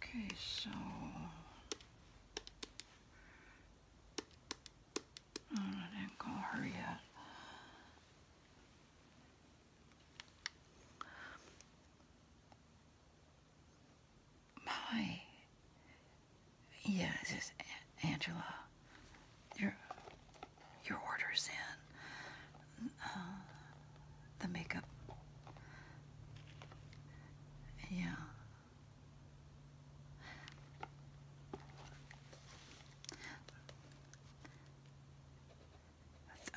Okay, so I didn't call her yet. My, yeah, this is Angela your your orders in, uh, the makeup. Yeah.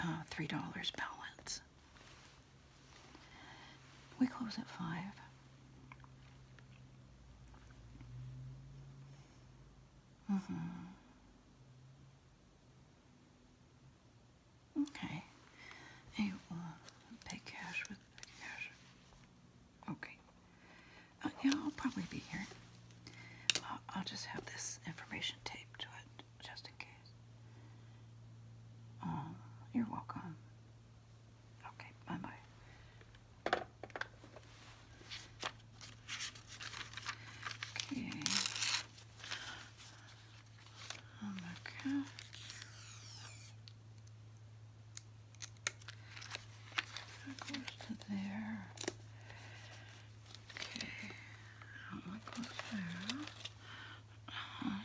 Uh, $3 balance. We close at 5. Mm-hmm. Okay. Hey, well, pay cash with cash. Okay. Uh, yeah, I'll probably be here. I'll just have this information taped to it, just in case. Um, you're welcome. Okay, bye-bye. Okay. On goes to there. Okay. That goes there. Uh -huh.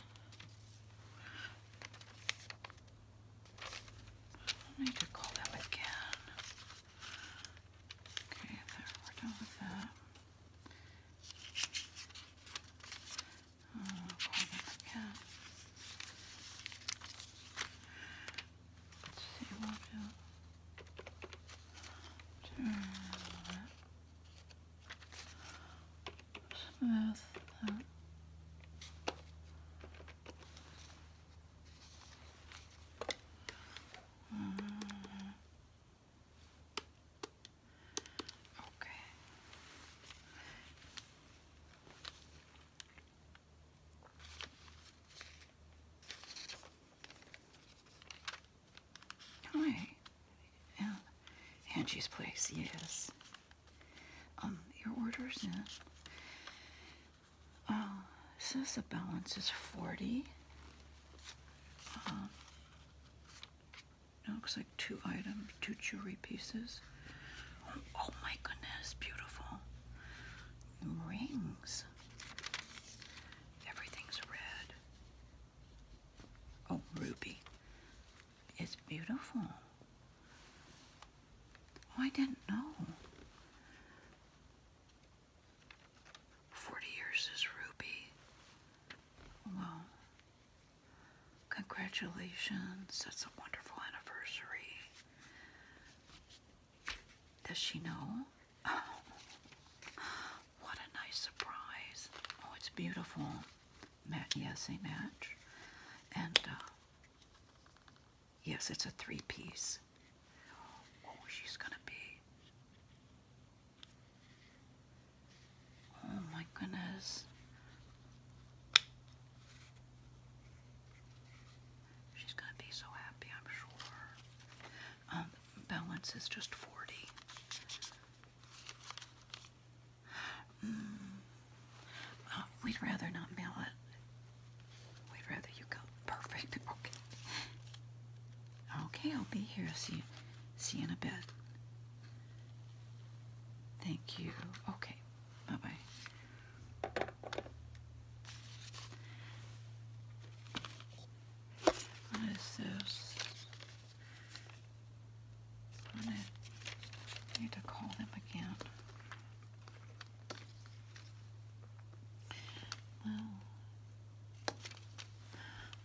I need to call them again. Okay, there, we're done with that. again. Let's see, we'll do turn Smooth that. Hi. Yeah. Angie's place, yes. Um, your orders in. Uh, says the balance is 40. Uh, looks like two items, two jewelry pieces. oh my goodness, beautiful. Rings. Everything's red. Oh, ruby. It's beautiful. Oh, I didn't know. Forty years is Ruby. Well, congratulations. That's a wonderful anniversary. Does she know? Oh, what a nice surprise. Oh, it's beautiful. Matt, yes, a match. And uh, Yes, it's a three piece. Oh, she's gonna be. Oh my goodness. She's gonna be so happy, I'm sure. Um, balance is just 40. Mm. Uh, we'd rather not mail it. We'd rather you go. Perfect. Okay. Okay, I'll be here. See you. See in a bit. Thank you. Okay. Bye bye. What is this? I need to call them again. Well,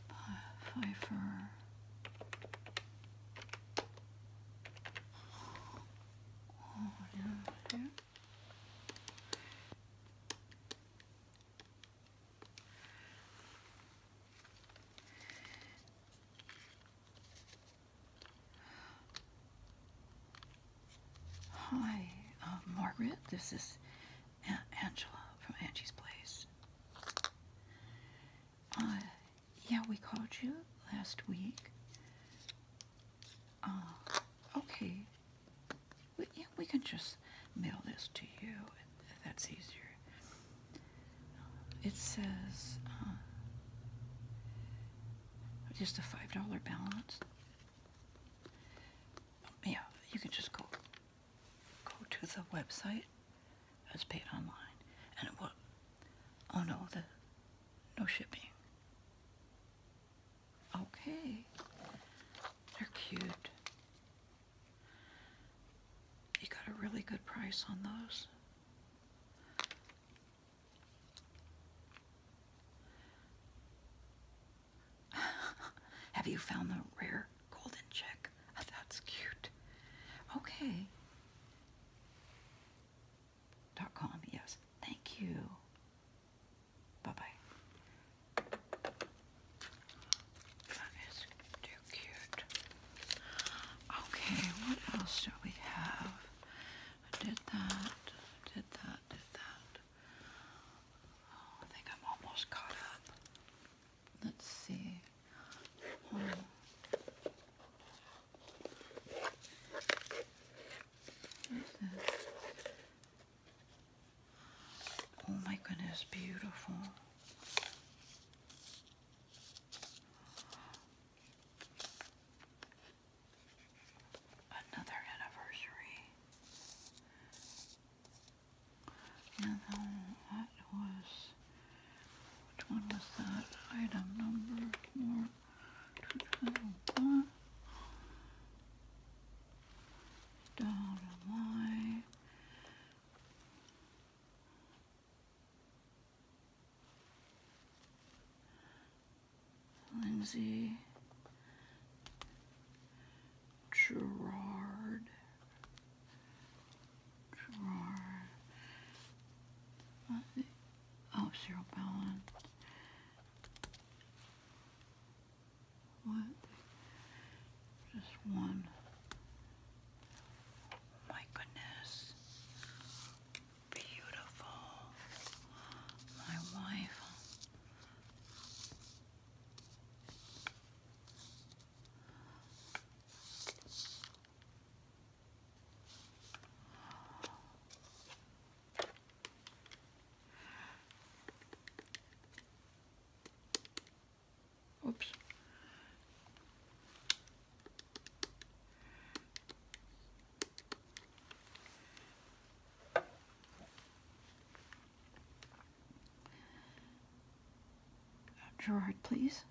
Pfeiffer. Oh, yeah, yeah. Hi, um, Margaret. This is Angela from Angie's Place. Uh, yeah, we called you last week. Uh, okay. We, yeah, we can just mail this to you if that's easier. Uh, it says just a $5 balance. Yeah, you can just go go to the website as paid online, and it will. Oh no, the no shipping. Okay, they're cute. You got a really good price on those. Have you found the rare golden chick? that's cute. Okay. Dot com, yes. Thank you. Bye bye. too cute. Okay, what else do we have? I did that, did that, did that. Oh, I think I'm almost caught up. Let's see. Hmm. oh my goodness, beautiful. Another anniversary. And was, which one was that? Item number four, two, two, one. Down to my. Lindsay Gerard Gerard oh Cheryl Ballin what just one oh my goodness beautiful. My wife. Oops. Gerard, please.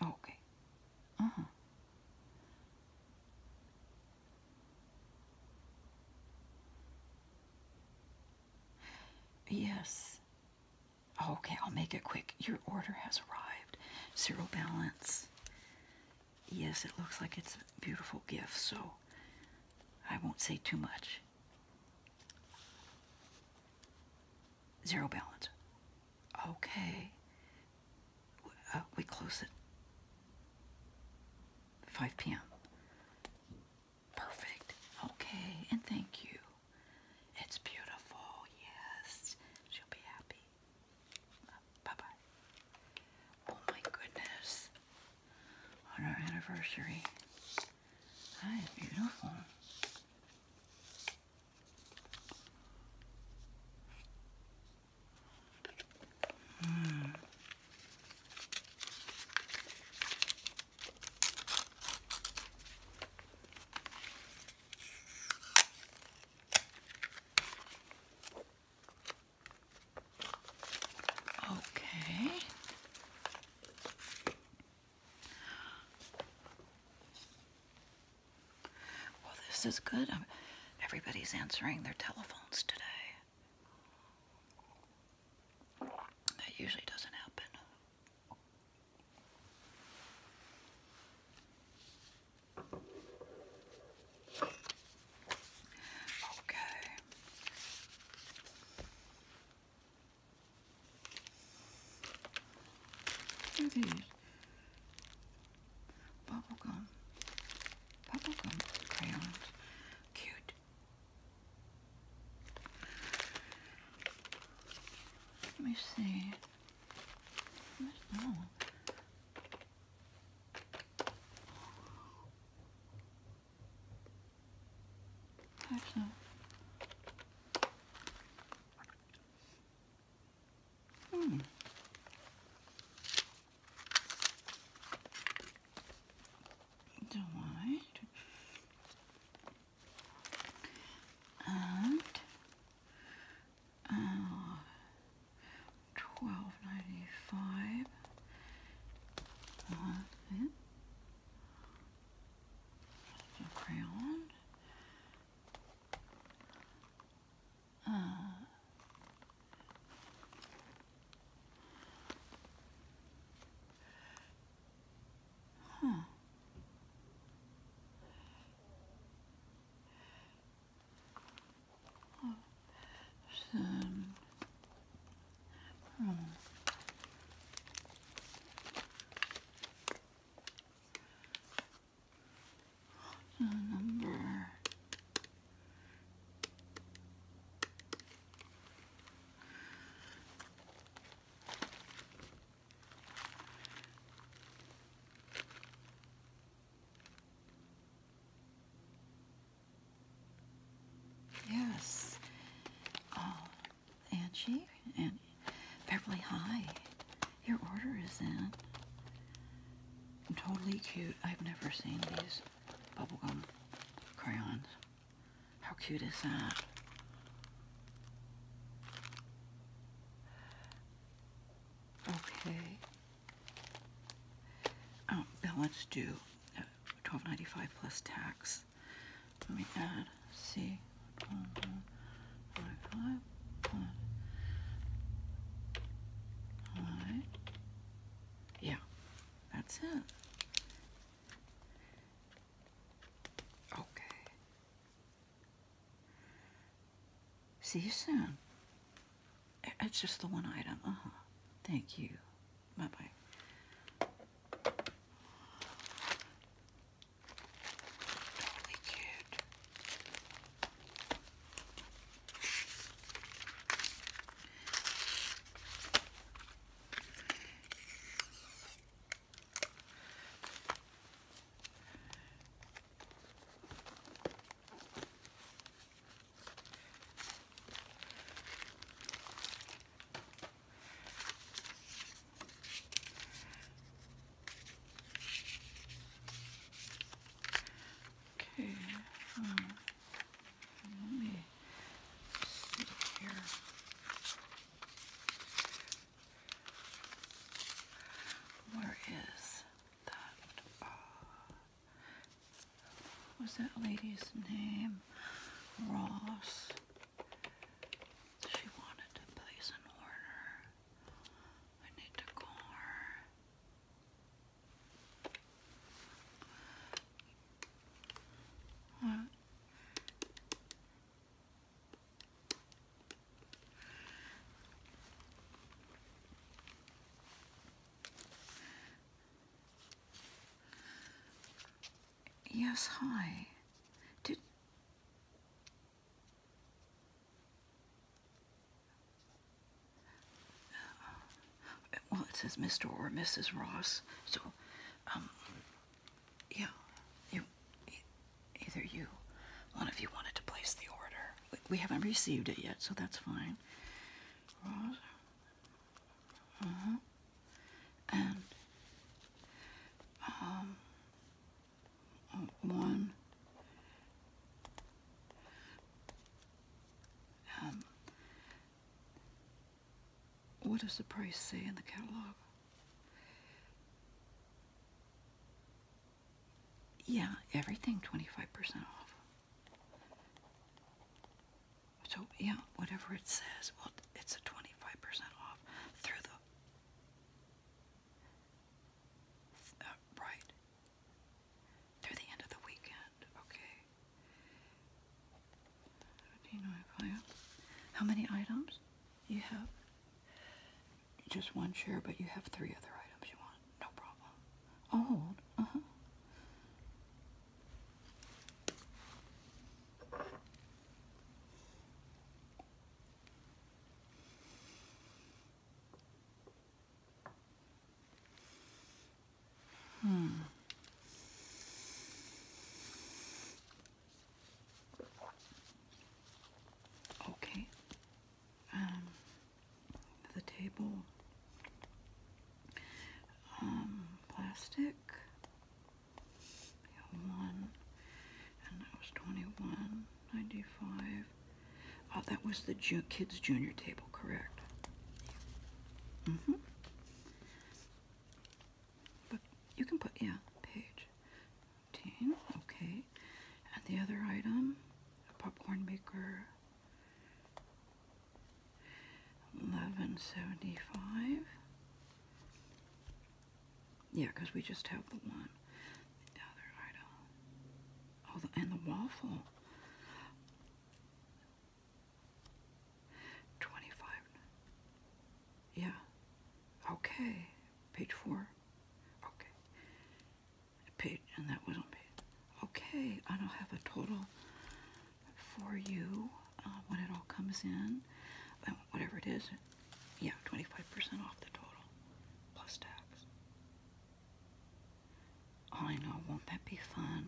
Okay. Uh-huh. Yes okay, I'll make it quick. Your order has arrived. Zero balance. Yes, it looks like it's a beautiful gift, so I won't say too much. Zero balance. Okay. Uh, we close it. 5 p.m. Perfect. Okay, and thank you. It's beautiful, yes. She'll be happy. bye bye. Oh my goodness. On our anniversary. That is beautiful. Mm. Okay. Well, this is good. Um, everybody's answering their telephones today. That usually doesn't happen. Okay. It is bubblegum, bubblegum crayons, cute. Let me see. I don't know. Actually, hmm. Do I? and uh, twelve ninety five. Uh, yeah. crayon. Uh, huh. Um, from number Yes. Oh, Angie and Beverly, hi. Your order is in. Totally cute. I've never seen these bubblegum crayons. How cute is that? Okay. Um, balance due, twelve ninety five plus tax. Let me add C. Yeah, that's it. Okay. See you soon. It's just the one item. Uh-huh. Thank you. Bye-bye. Totally cute. Okay, um, let me see here. Where is that? Uh, was that lady's name? Ross. She wanted to place an order. need to call her. Yes, hi. Well, it says Mr. or Mrs. Ross, so, um, yeah, either you, one of you wanted to place the order. We, haven't received it yet, so that's fine. Uh-huh. And um, one. Um, what does the price say in the catalog? Yeah, everything 25% off. So, yeah, whatever it says, well, it's a 25% off through the. Uh, right. Through the end of the weekend, okay. How many items you have? Just one chair, but you have three other items you want. No problem. i Uh-huh. Hmm. Okay. Um, the table, um, plastic. Yeah, one, and that was twenty-one ninety-five. Oh, that was the kids' junior table, correct? Mm-hmm. But you can put, yeah, page 15, okay. And the other item, a popcorn maker, 1175. Yeah, because we just have the one. The other item. Oh, and the waffle. 25. Yeah. Okay. Page 4. Okay. Page, and that was on page. Okay, I don't have a total for you uh, when it all comes in. Uh, whatever it is. Yeah, 25% off the total. Plus tax. I know, won't that be fun?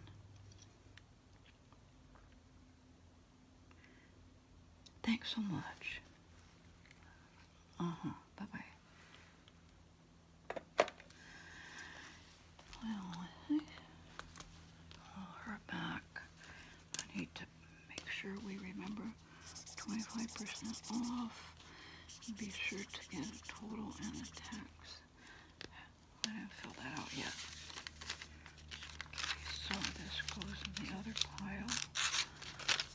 Thanks so much. Uh huh. Bye bye. Well, her back. I need to make sure we remember 25% off. Be sure to get a total and a tax. I didn't fill that out yet so this goes in the other pile.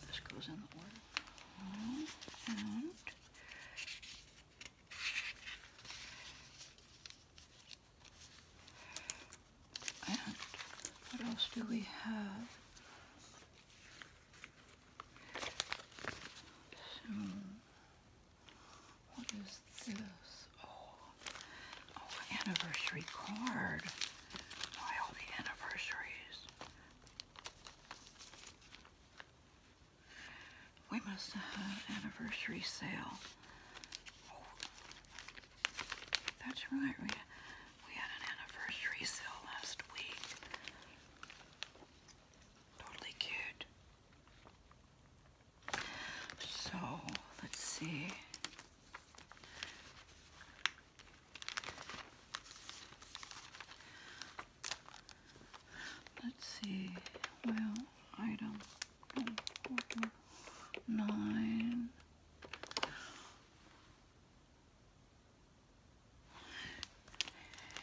This goes in the order And what else do we have? So, what is this? Oh, Oh, anniversary card. Why all the anniversaries? We must have an anniversary sale. Oh, that's right. We, we had an anniversary sale last week. Totally cute. So let's see. Let's see. Well, item nine.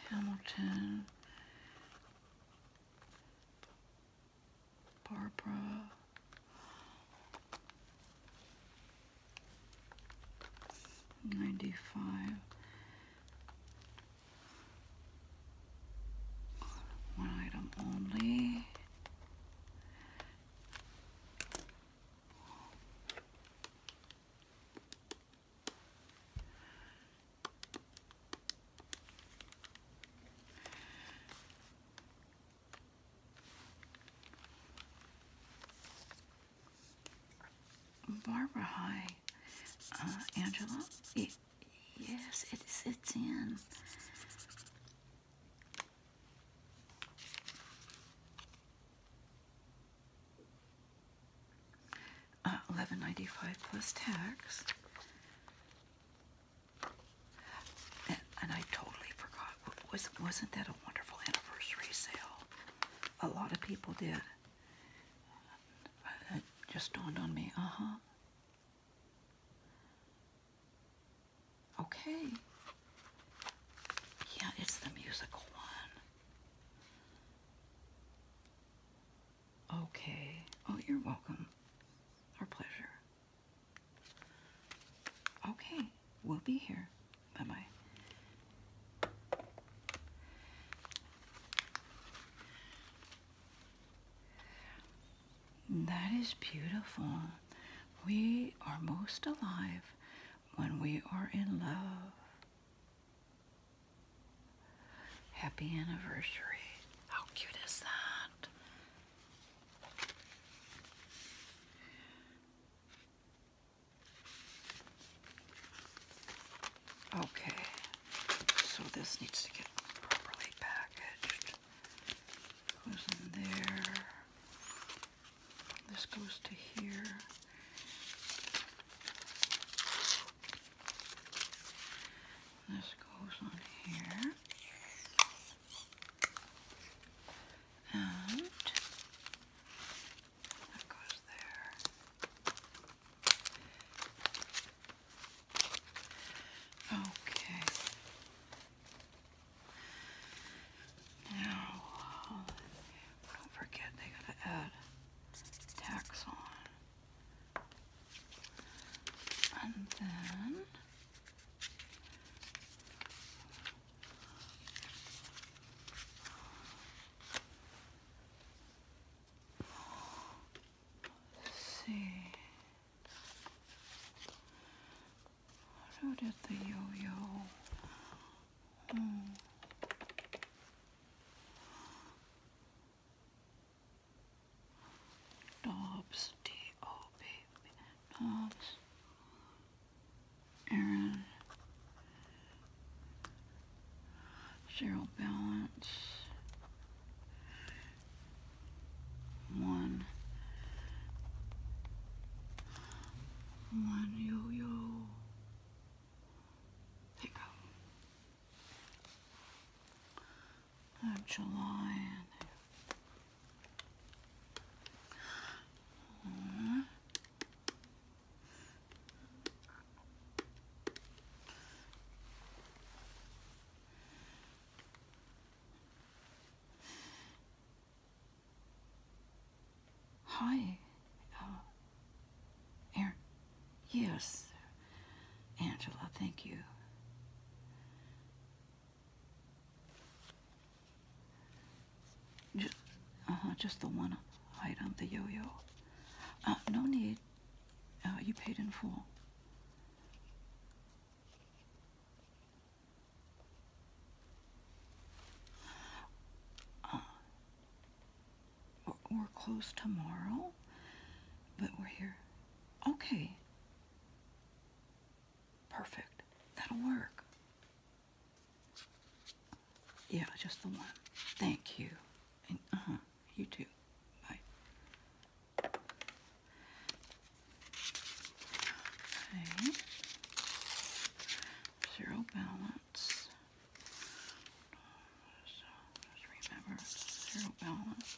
Hamilton Barbara. Ninety five. One item only. Barbara, hi. Uh, Angela? yes, it sits in. 1195 uh, plus tax and, I totally forgot. Was, wasn't that a wonderful anniversary sale? A lot of people did. Uh, it just dawned on me. Uh huh. Okay. Yeah, it's the musical one. Okay. Oh, you're welcome. Our pleasure. Okay, we'll be here. Bye bye. That is beautiful. We are most alive when we are in love. Happy anniversary. How cute is that? Okay, so this needs to get properly packaged. Goes in there. This goes to here. This goes on here. And that goes there. Okay. Now, don't forget they gotta add tax on. And then see. So did the yo-yo. Dobbs, D O B B, Dobbs, Aaron, zero balance, one, one yo yo pickup of July. Hi, uh, Yes, Angela, thank you. Just, uh -huh, just the one item, the yo-yo. Uh, no need. Uh, you paid in full. Uh, we're, we're closed tomorrow, but we're here. Okay. Perfect. That'll work. Yeah, just the one. Thank you. And, uh-huh. You too. Bye. Zero balance. just remember, zero balance.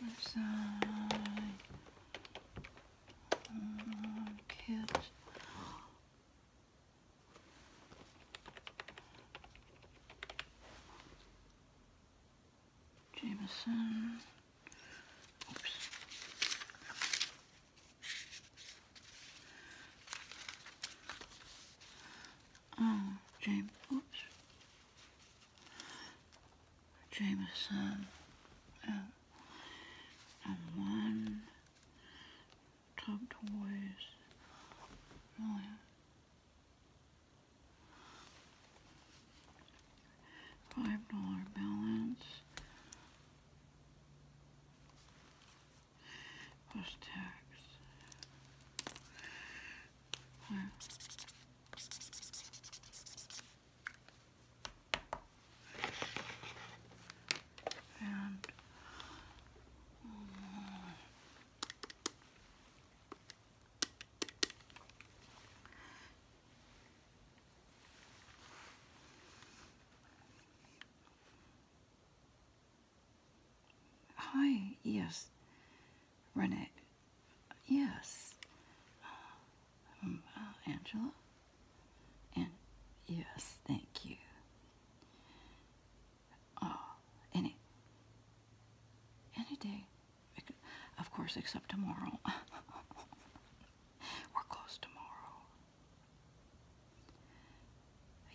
Left side. Um, Jameson. Oh, James, Jameson. Uh, one. Top Toys. Oh, Five dollar balance. Plus tax. Hmm. And um, Hi, yes. Renee. Yes. Um, uh, Angela? And yes, thank you. Oh, any. Any day. Of course, except tomorrow. We're closed tomorrow.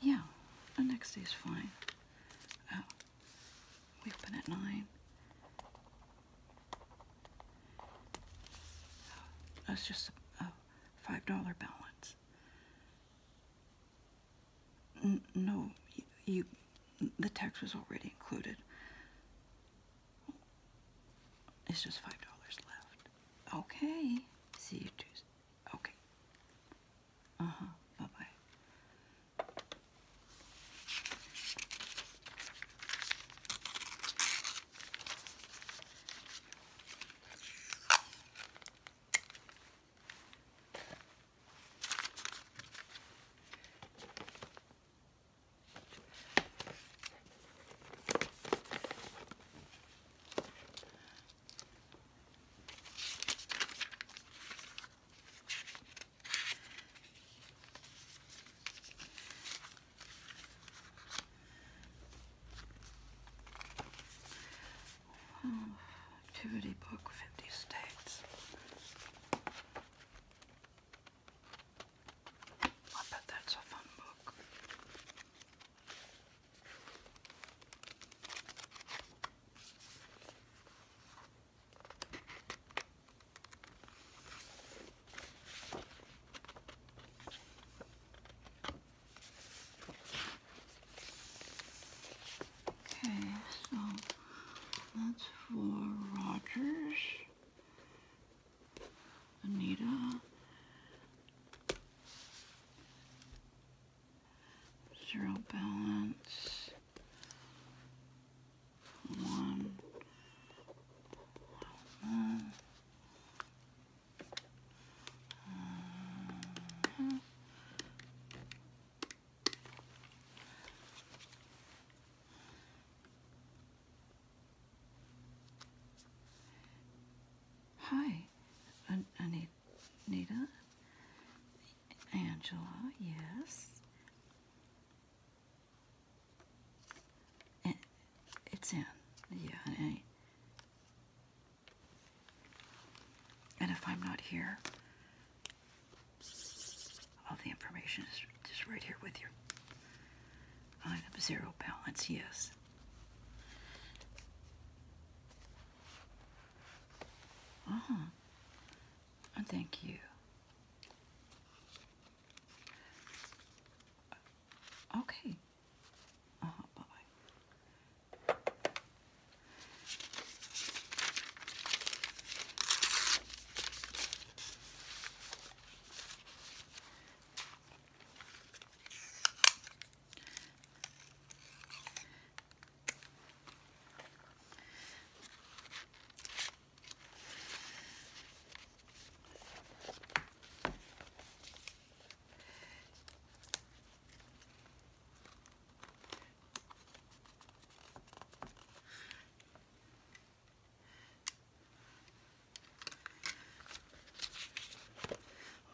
Yeah, the next day is fine. Oh, we open at 9. That's just a, $5 balance. no, you, the tax was already included. It's just $5 left. Okay, see you Tuesday. Okay. Uh-huh. Bye-bye activity book, 50 states. I bet that's a fun book. Okay, so that's for Rogers, Anita, zero balance, one, one. Hi, An Nita. Angela, yes. Eh, it's in. Yeah, and, and if I'm not here, all the information is just right here with you. Item zero balance, yes. Uh-huh. Oh, thank you. Okay. Uh-huh, bye-bye.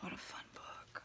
What a fun book.